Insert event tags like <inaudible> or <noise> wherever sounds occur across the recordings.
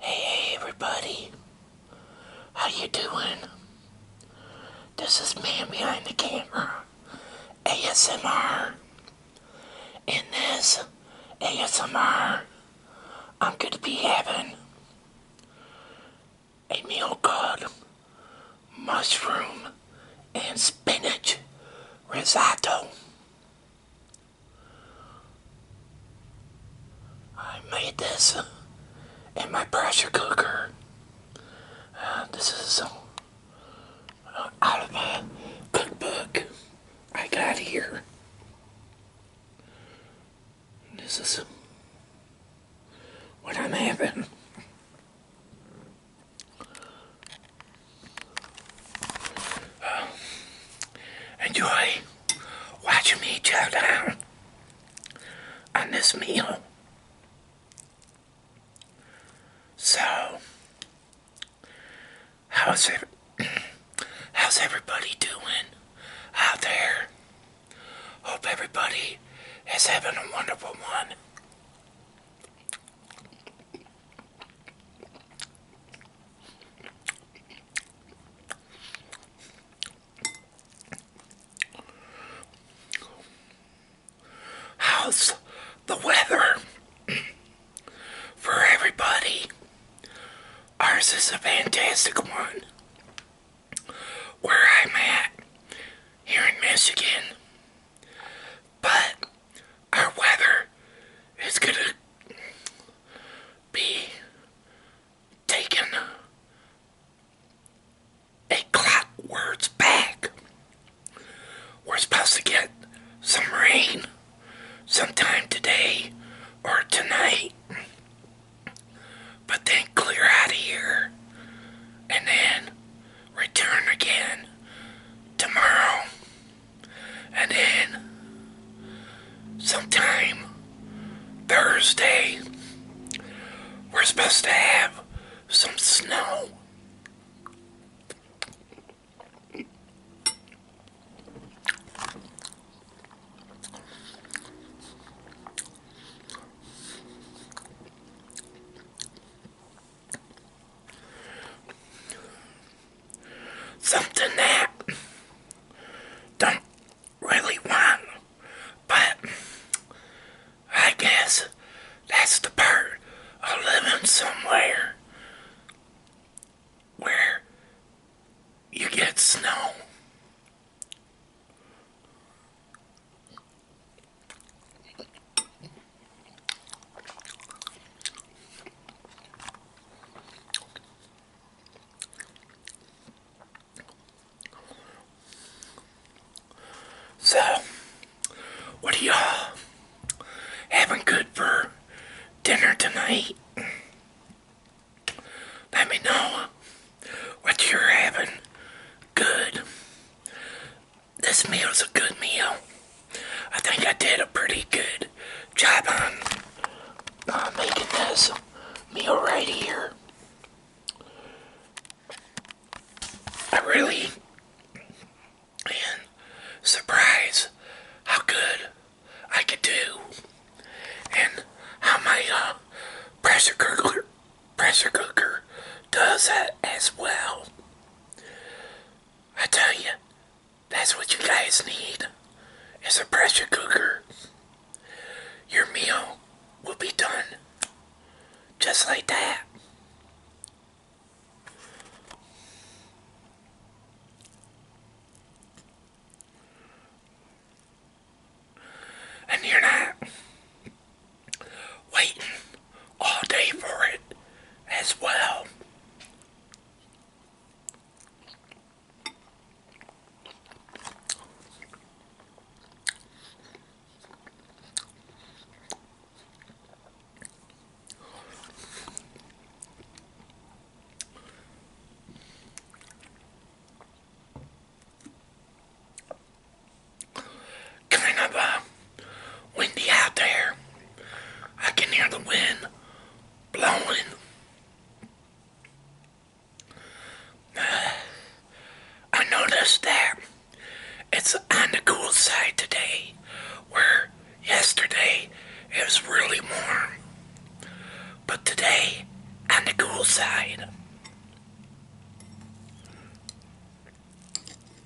Hey, everybody. How you doing? This is Man Behind the Camera ASMR. In this ASMR, I'm going to be having a meal called mushroom and spinach risotto. I made this in my pressure cooker. Uh, this is uh, out of my cookbook I got here. This is what I'm having enjoy watching me chow down on this meal. So, how's every, how's everybody doing out there? Hope everybody is having a wonderful one. How's the weather for everybody? Ours is a fantastic one. Where I'm at here in Michigan. But our weather is going to be taken a clockwards back. We're supposed to get some rain sometime today or tonight, but then clear out of here and then return again tomorrow. And then sometime Thursday, we're supposed to have some snow something that don't really want, but I guess that's the part of living somewhere where you get snow. So, what are you having good for dinner tonight? Let me know what you're having good this meal is a good meal. I think I did a pretty good job on making this meal right here. I really am surprised how good I could do and how my uh, pressure cooker pressure cooker does that as well. I tell you, that's what you guys need is a pressure cooker. Your meal will be done just like that. And you're not waiting all day for it as well kind of uh, windy out there. I can hear the wind blowing. <sighs> I noticed that it's on the cool side today, where yesterday it was really warm. But today, on the cool side.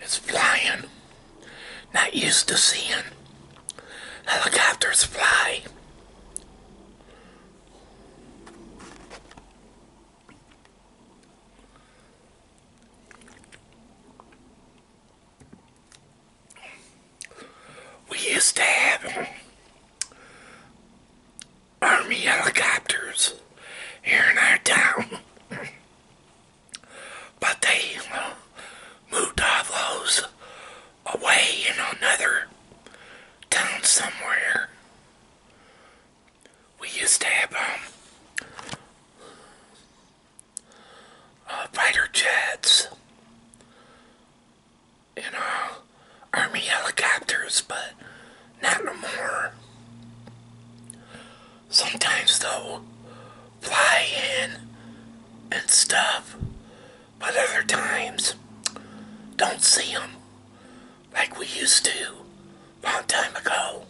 It's flying. Not used to seeing helicopters fly. We used to have army helicopters here in our town. <laughs> but they moved all those away in another town somewhere. We used to have um, uh, fighter jets and uh, army helicopters, but not no more. Sometimes they'll fly in and stuff, but other times don't see them like we used to a long time ago.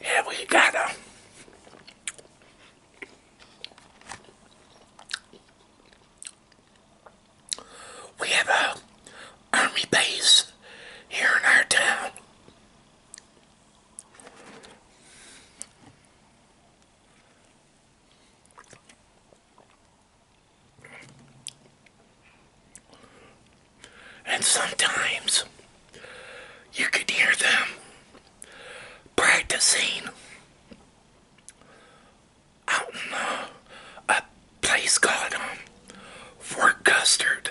Yeah, we got a we have a army base here in our town. And sometimes you could hear them practicing out in a place called um, Fort Custard.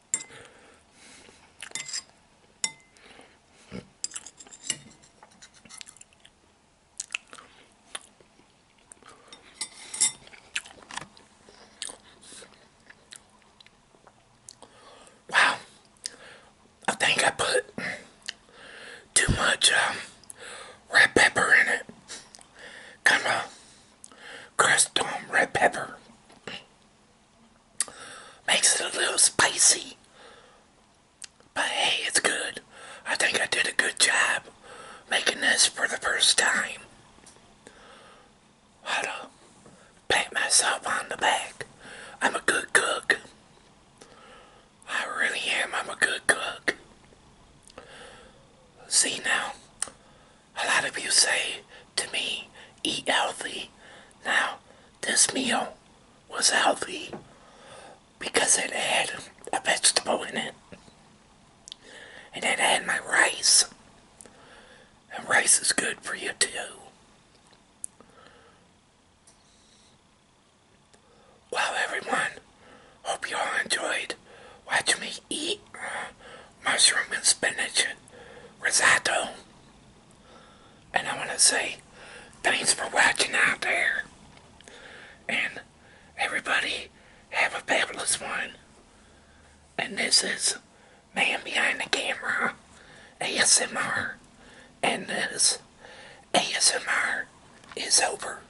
Wow, I think I put too much um, red pepper in it. Kind of crushed on red pepper. Makes it a little spicy. But hey, it's good. I think I did a good job making this for the first time. How to pat myself on the back. I'm a good cook. I really am. I'm a good cook. See now, a lot of you say to me, eat healthy. Now, this meal was healthy because it had a vegetable in it. And it had my rice. And rice is good for you too. Well, everyone, hope you all enjoyed Watch me eat mushroom and spinach risotto. And I want to say thanks for watching out there. And everybody have a fabulous one. And this is Man Behind the Camera ASMR. And this ASMR is over.